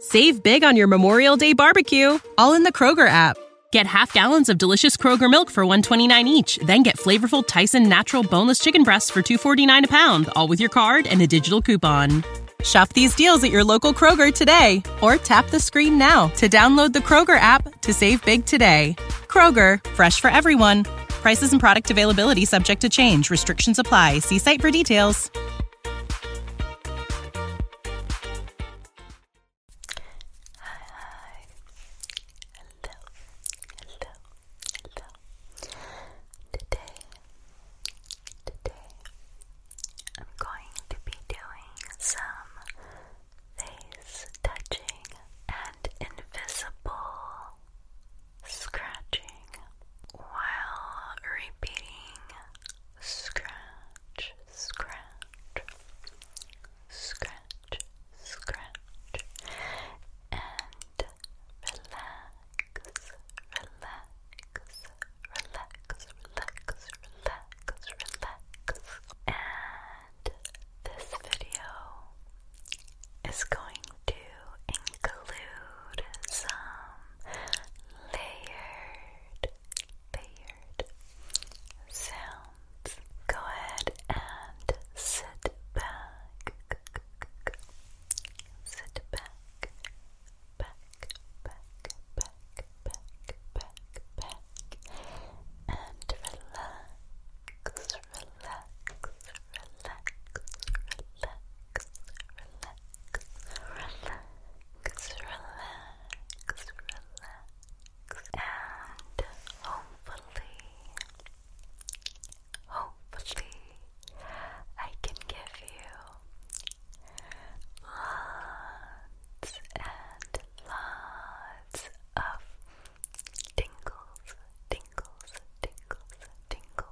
Save big on your Memorial Day barbecue, all in the Kroger app. Get half gallons of delicious Kroger milk for 129 each, then get flavorful Tyson natural boneless chicken breasts for 249 a pound, all with your card and a digital coupon. Shop these deals at your local Kroger today or tap the screen now to download the Kroger app to save big today. Kroger, fresh for everyone. Prices and product availability subject to change. Restrictions apply. See site for details hi. Hello, hello, hello. Today, today, I'm going to be doing some face touching and invisible scratching while repeating scratch, scratch, scratch, scratch, and relax, relax, relax, relax, relax, relax. And this video is going to include some layered, layered sounds. Go ahead and sit back, sit back, back, back, back, back, back, back, and relax, relax, relax, relax, relax relax, relax, relax, and hopefully, hopefully, I can give you lots and lots of tingles, tingles, tingles, tingles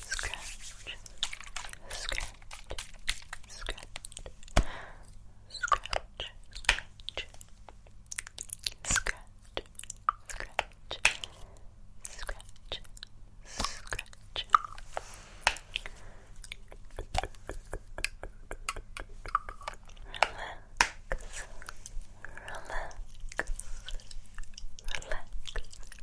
scratch, scratch, scratch, scratch, scratch. Scratch, scratch, scratch, scratch. Relax, relax, relax,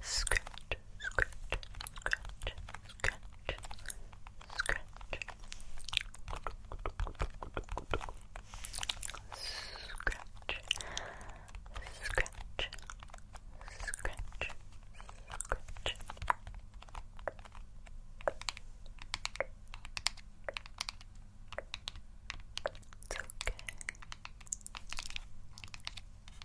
scratch, scratch, scratch, scratch, scratch, scratch, scratch, scratch, scratch. It's okay.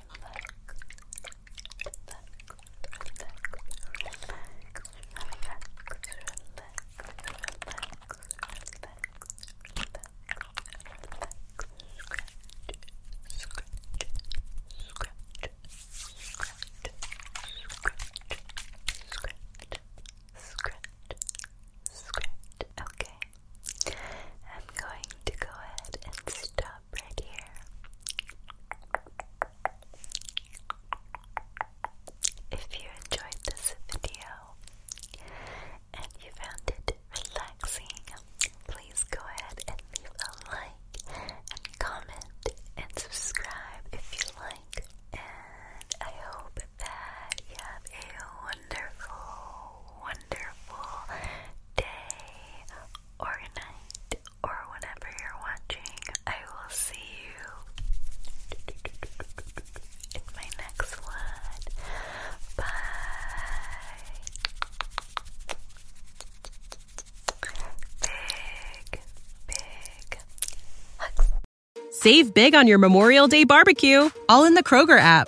scratch, scratch, scratch. Okay, I'm going to go ahead and stop right here. If you enjoyed this video and you found it relaxing, please go ahead and leave a like and comment and subscribe if you like. And I hope that you have a wonderful, wonderful day or night or whenever you're watching. I will see you in my next one. Bye. Save big on your Memorial Day barbecue, all in the Kroger app.